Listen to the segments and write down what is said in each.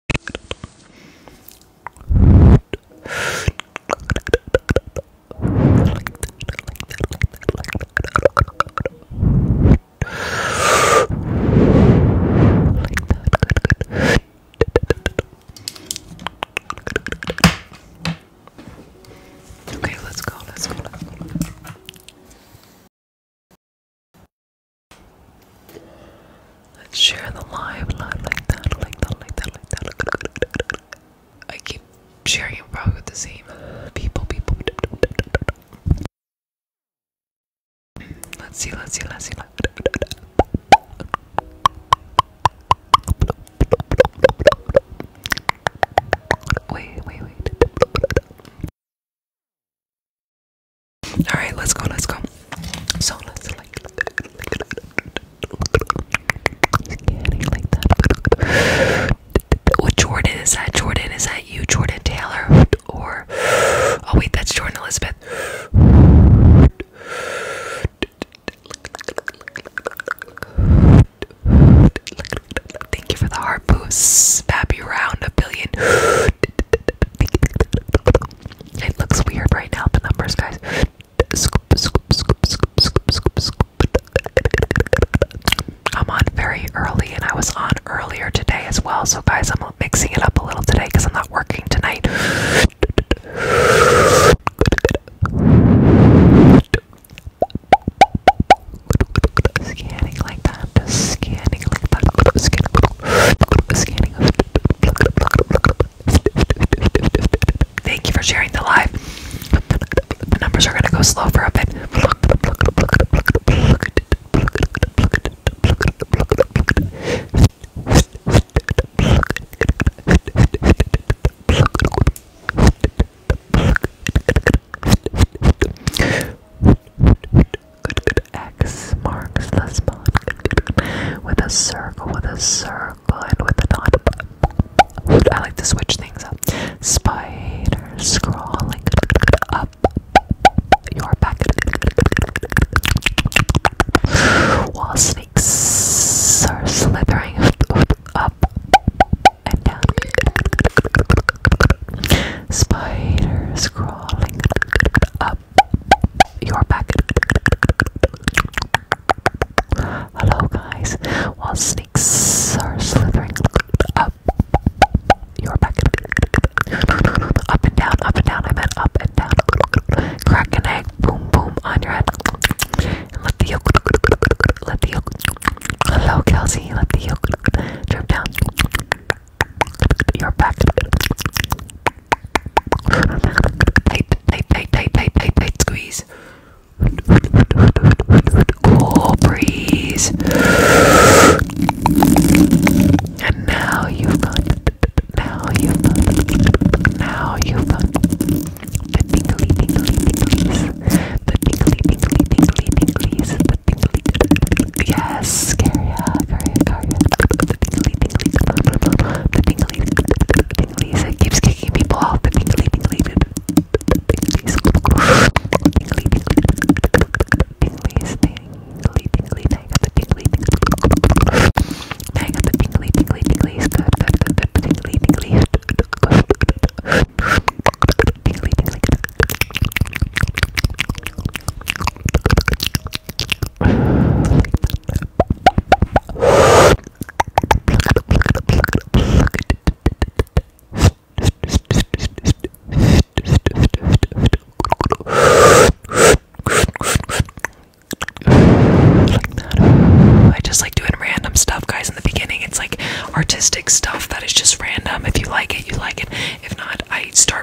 Okay, let's go, let's go, let's go. Let's share the live, live like that, like that, like that, like that. I keep sharing it probably with the same people, people. Let's see, let's see, let's see. Wait, wait, wait. All right, let's go, let's go. So let's like scanning like that. What Jordan is that? Jordan is that you? Jordan Taylor or oh wait, that's Jordan Elizabeth. Thank you for the heart boost. Happy round a billion. It looks weird right now, the numbers, guys. I'm on very early, and I was on earlier today as well. So, guys, I'm mixing it up a little today because I'm not working tonight. Scanning like that. Thank you for sharing the live. The numbers are gonna go slow for a bit. X marks the spot. With a circle, with a circle, and with a dot. I like to switch things up. Spider crawling up your back. While snakes are slithering up and down. Spiders crawling up you're back. Hello, guys. While snakes are slithering up, you're back. Up and down, up and down. I meant up and down. Crack an egg. Boom, boom on your head. And let the yolk. Let the yolk. Hello, Kelsey. Let the yolk drip down. You're back. Tight, tight, tight, tight, tight, tight, squeeze. Cool breeze. And now you've got, now you've got, now you've got the tingly, tingly, tinglies, the tingly, tingly, tingly, tinglies, the tingly, Yes, scary The tingly, It keeps kicking people off. The tingly, tingly, tinglies. Tingly, tinglies, tingly, tingly. Now I the tingly, tingly. Now I got the The tingly, tingly. Tingly, I just like doing random stuff, guys. In the beginning, it's like artistic stuff that is just random. If you like it, you like it. If not, I start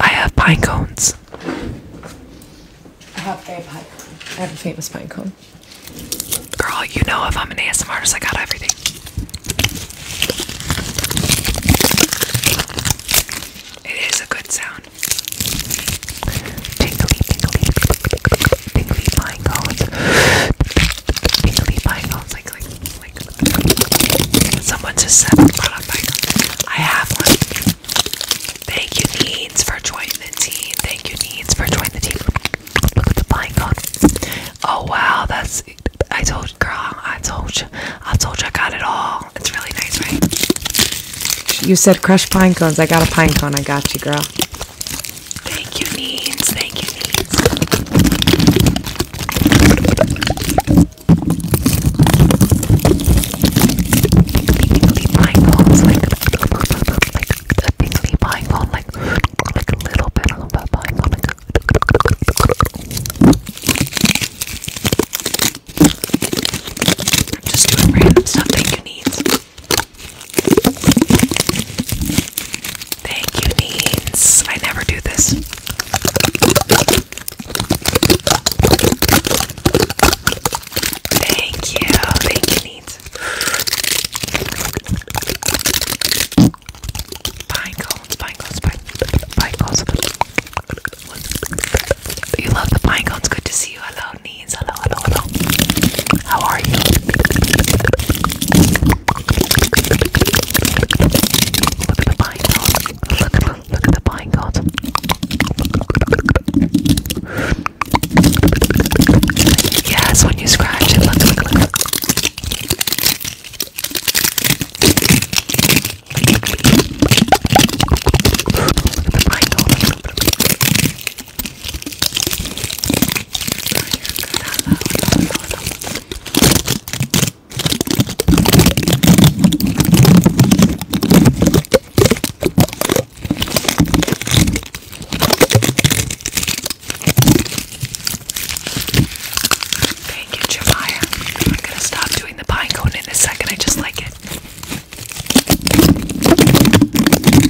I have pine cones. I have a pine cone. I have a famous pine cone. Girl, you know if I'm an ASMR artist, I got everything. It is a good sound. Tingly, tingly like, like, like, someone just said I brought I have one. Thank you, Needs, for joining the team. Thank you, Needs, for joining the team. Look at the python. Oh, wow, that's, I told, girl, I told you, I told you I got it all. It's really nice, right? You said crushed pine cones. I got a pine cone. I got you, girl. Thank you, Needs. Thank you, Needs. Pinecones, like, a pinkly pinecone, like, like a little bit of a pinecone. Like, just random stuff that you need. Thank you, Neens. I never do this. Thank you. Thank you, Neens. Pine cones, pine cones, pine, pine cones. You love the pine cones. Good to see you. Hello, Neens. Hello, hello, hello. How are you? Look Look, at the pine Yes, when you scratch it, look, look, at the pine Okay, get your I'm gonna stop doing the pine cone in a second. I just like it.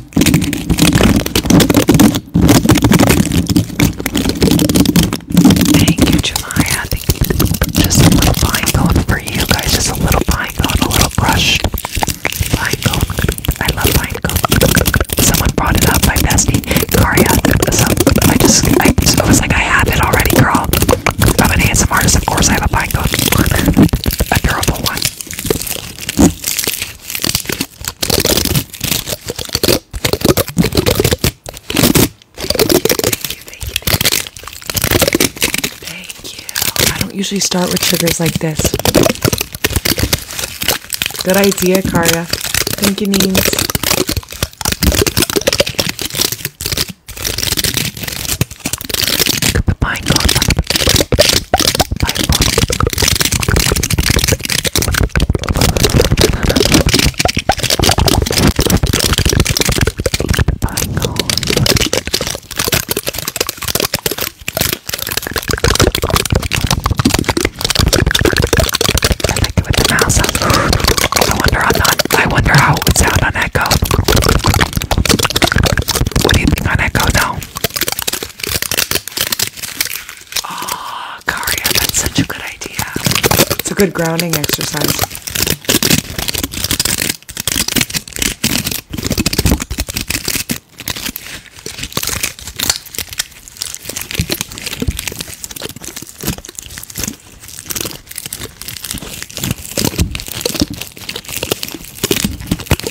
Thank you, Julia. Just a little pine for you guys. Just a little pine a little brushed pine I love pine Someone brought it up, my bestie, Karia. So I just, I, I was like, I have it already, girl. I'm an ASMR artist, of course. I have a pine a durable one. Thank you. I don't usually start with sugars like this. Good idea, Karya. Thank you, Neens like it with the mouse. I wonder how not, I wonder how it would sound on echo. What do you think on echo now? Oh, Karia, that's such a good idea. It's a good grounding exercise.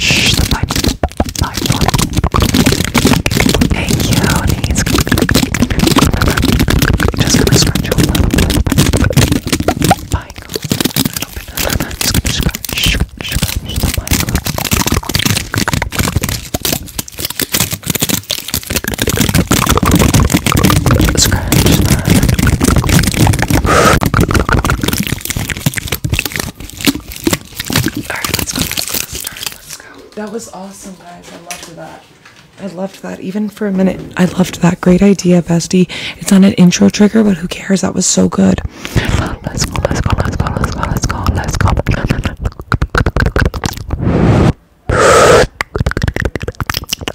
Shh, the light, light Hey, cuties. Just gonna scratch a little bit. Michael. A little bit. Just gonna scratch, scratch, scratch the Michael. Scratch that. That was awesome, guys. I loved that. I loved that. Even for a minute, I loved that. Great idea, bestie. It's on an intro trigger, but who cares? That was so good. Let's go, let's go, let's go, let's go, let's go, let's go.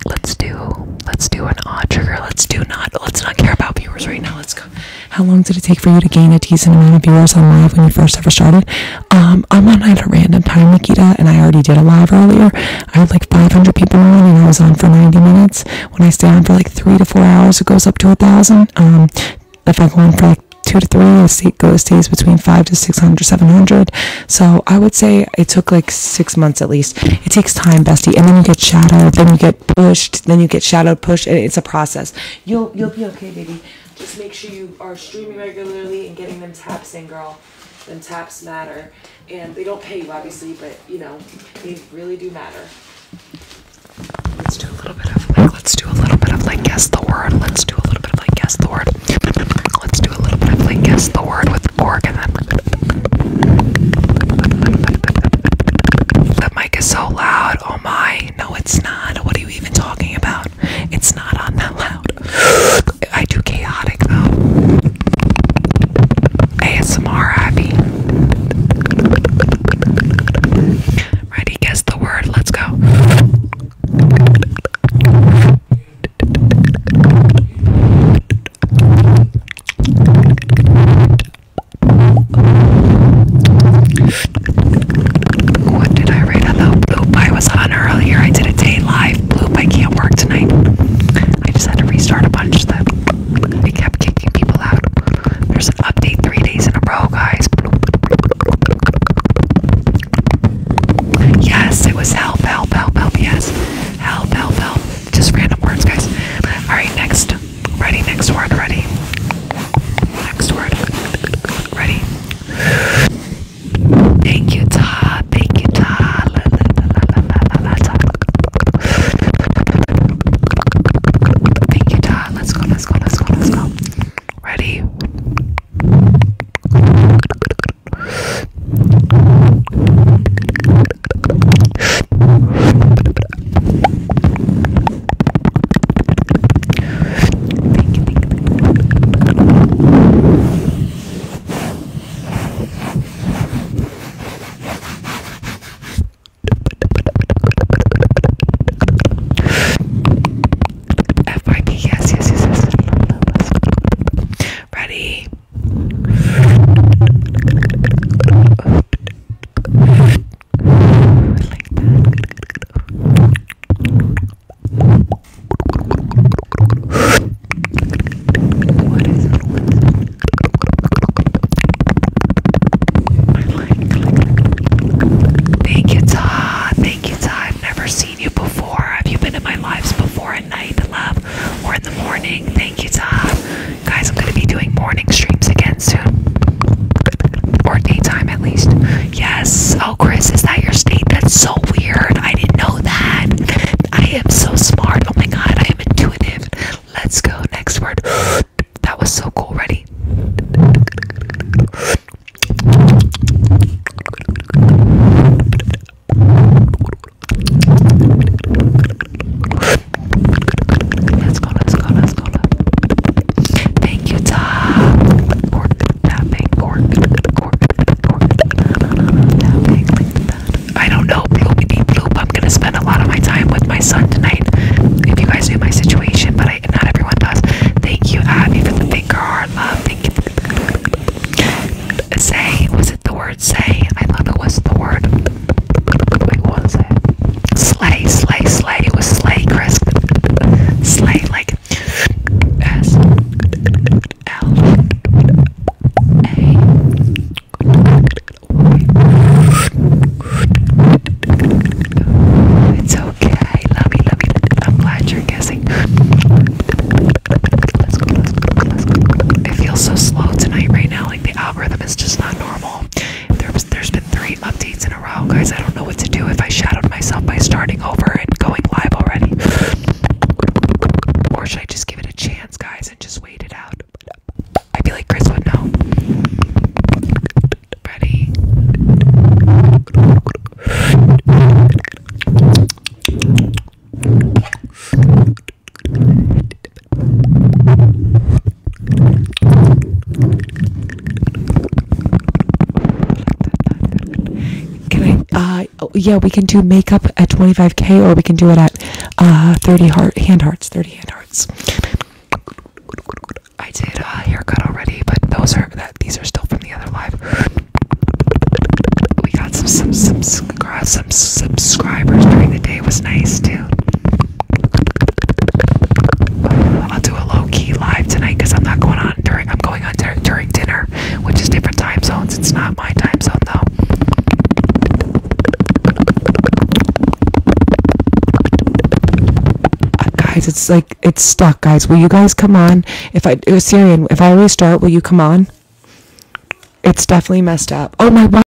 Let's do, let's do an odd trigger. Let's do not, let's not care about viewers right now. Let's go how long did it take for you to gain a decent amount of viewers on live when you first ever started? Um, I'm on at a random time, Nikita, and I already did a live earlier. I had like 500 people on, and I was on for 90 minutes. When I stay on for like three to four hours, it goes up to a thousand. Um, if I go on for like two to three, it goes stays between five to six hundred, seven hundred. So I would say it took like six months at least. It takes time, bestie, and then you get shadowed, then you get pushed, then you get shadowed, pushed, and it's a process. You'll you'll be okay, baby. Just make sure you are streaming regularly and getting them taps in, girl. Them taps matter, and they don't pay you obviously, but you know they really do matter. Let's do a little bit of like. Let's do a little bit of like guess the word. Let's do a little bit of like guess the word. Let's do a little bit of like guess the word with org The mic is so loud. Oh my no, it's not. What are you even talking about? It's not on that loud. I do chaotic though. ASMR Abby. Ready? Guess the word. Let's go. What did I write on the bloop I was on earlier? I did a day live bloop. I can't work tonight. I just had to restart a bunch of that I kept kicking people out. There's an update three days in a row, guys. Yes, it was help, help, help, help. Yes, help, help, help. Just random words, guys. All right, next. Ready, next word, ready. Next word. Ready. Thank you, Ta. Thank you, Ta. Thank you, Ta. Let's go, let's go, let's go, let's go. Ready? Thank you, thank you, thank you. yes, yes, yes, yes. Ready? like that. What is it? I like, Thank you, Todd. Thank you, Todd. I've never seen you before. Have you been in my lives before at night, love, or in the morning? Thank you, Todd. Guys, I'm gonna be doing morning streams again soon. Or daytime at least. Yes. Oh, Chris, is that your state? That's so weird. I didn't know that. I am so smart. Oh my god, I am intuitive. Let's go. Next word. That was so cool. Ready? Let's go, let's go, let's go. Thank you, Tom. Cork, tapping, cork, I don't know, I'm gonna spend a lot of my time with my son tonight. If you guys knew my situation, but not everyone does. Thank you, Abby, for the finger heart love. Say, was it the word say? I thought it was the word. Wait, what was it? Slay, slay, slay. It was slay, Chris. Slay, like S L A. It's okay. Love you, love you. I'm glad you're guessing. Let's go, let's go, let's go. It feels so slow tonight, right now. Like the algorithm is just not normal there's been three updates in a row, guys. I don't know what to do if I shadowed myself by starting over and going live already, or should I just give it a chance, guys, and just wait it out? I would be like Chris would know. Ready? Can Uh, oh, yeah, we can do makeup at 25k, or we can do it at uh 30 heart hand hearts, 30 hand hearts. I did a haircut already, but those are that these are still from the other live. We got some some some, some subscribers during the day. was nice too. I'll do a low key live tonight because I'm not going on during. I'm going on during dinner, which is different time zones. It's not my time zone though. Uh, guys, it's like it's stuck. Guys, will you guys come on? If I it uh, was Syrian, if I restart, will you come on? It's definitely messed up. Oh my.